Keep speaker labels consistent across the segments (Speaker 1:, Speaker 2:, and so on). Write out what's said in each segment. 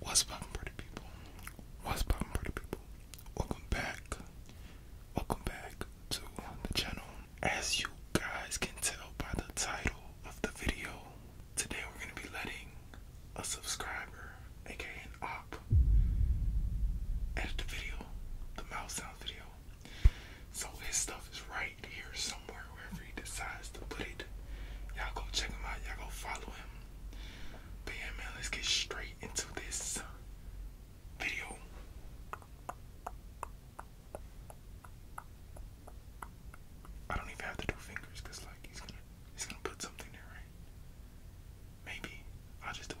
Speaker 1: What's poppin' pretty people? What's poppin' pretty people? Welcome back. Welcome back to the channel. As you guys can tell by the title of the video, today we're gonna be letting a subscriber, aka op, edit the video, the mouse sound video. So his stuff is right here somewhere wherever he decides to put it. Y'all go check him out. Y'all go follow him. But man, let's get straight into this video. I don't even have to do fingers because like he's gonna he's gonna put something there, right? Maybe. I'll just do it.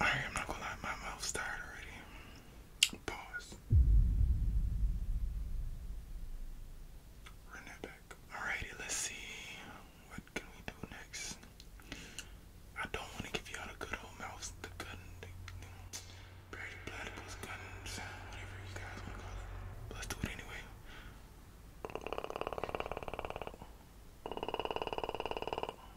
Speaker 1: Alright, I'm not gonna lie, my mouth's tired already. Pause. Run that back. Alrighty, let's see. What can we do next? I don't want to give y'all the good old mouse, the gun, the, the guns, whatever you guys want to call it. let's do it anyway.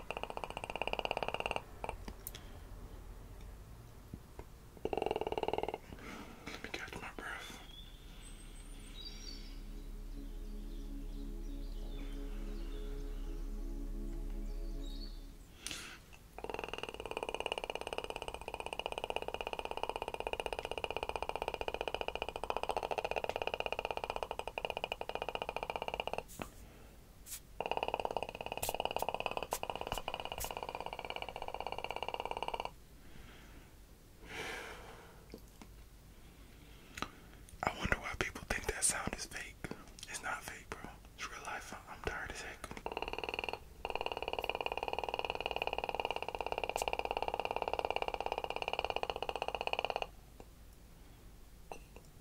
Speaker 1: Let me catch my breath. I wonder why people think that sound is fake. It's not fake, bro. It's real life. I'm tired as heck.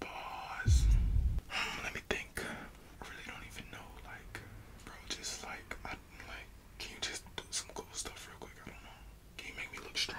Speaker 1: Pause. Let me think. I really don't even know. Like, bro, just like, I like. Can you just do some cool stuff real quick? I don't know. Can you make me look strong?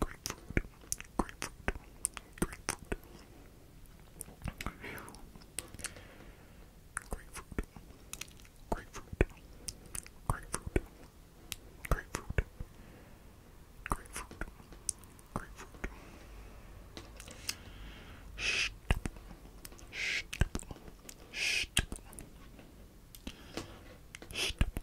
Speaker 1: grapefruit, grapefruit, grapefruit. Grapefruit, grapefruit, grapefruit, grapefruit, grapefruit, grapefruit. Stipple, stipple, stipple, stipple,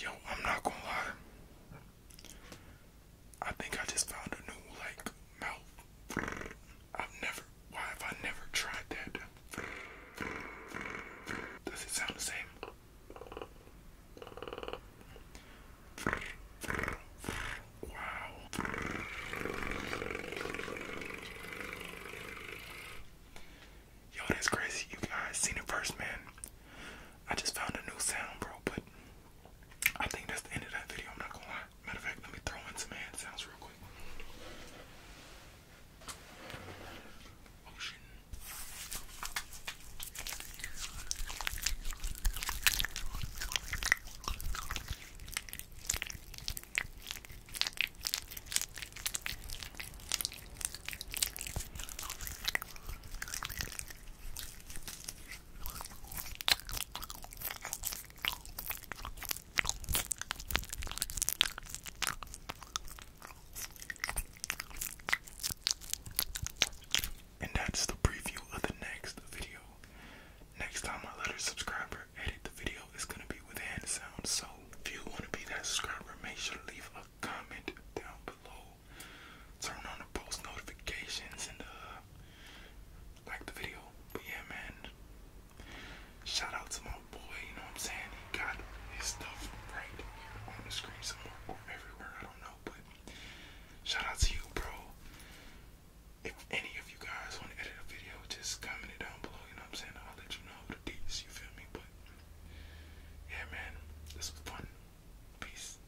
Speaker 1: Yo, I'm not gonna lie. I think I just found a new like mouth. I've never, why have I never tried that? Does it sound the same? Wow. Yo, that's crazy. You guys seen it first, man. I just found a new sound, bro, but I think that's the end of that video. I'm not gonna lie. Matter of fact, let me throw in some sounds real quick. Ocean. And that's the preview of the next video. Next time I let subscriber edit the video, it's gonna be with hand sound. So if you wanna be that subscriber, make sure to leave a comment down below. Turn on the post notifications and uh, like the video. But yeah man, Shout out to my boy, you know what I'm saying? He got his stuff right here on the screen somewhere or everywhere, I don't know, but shout out to you, bro. If any of you guys want to edit a video, just comment it down below, you know I'm saying? I'll let you know the deets, you feel me? But yeah, man, this was fun. Peace.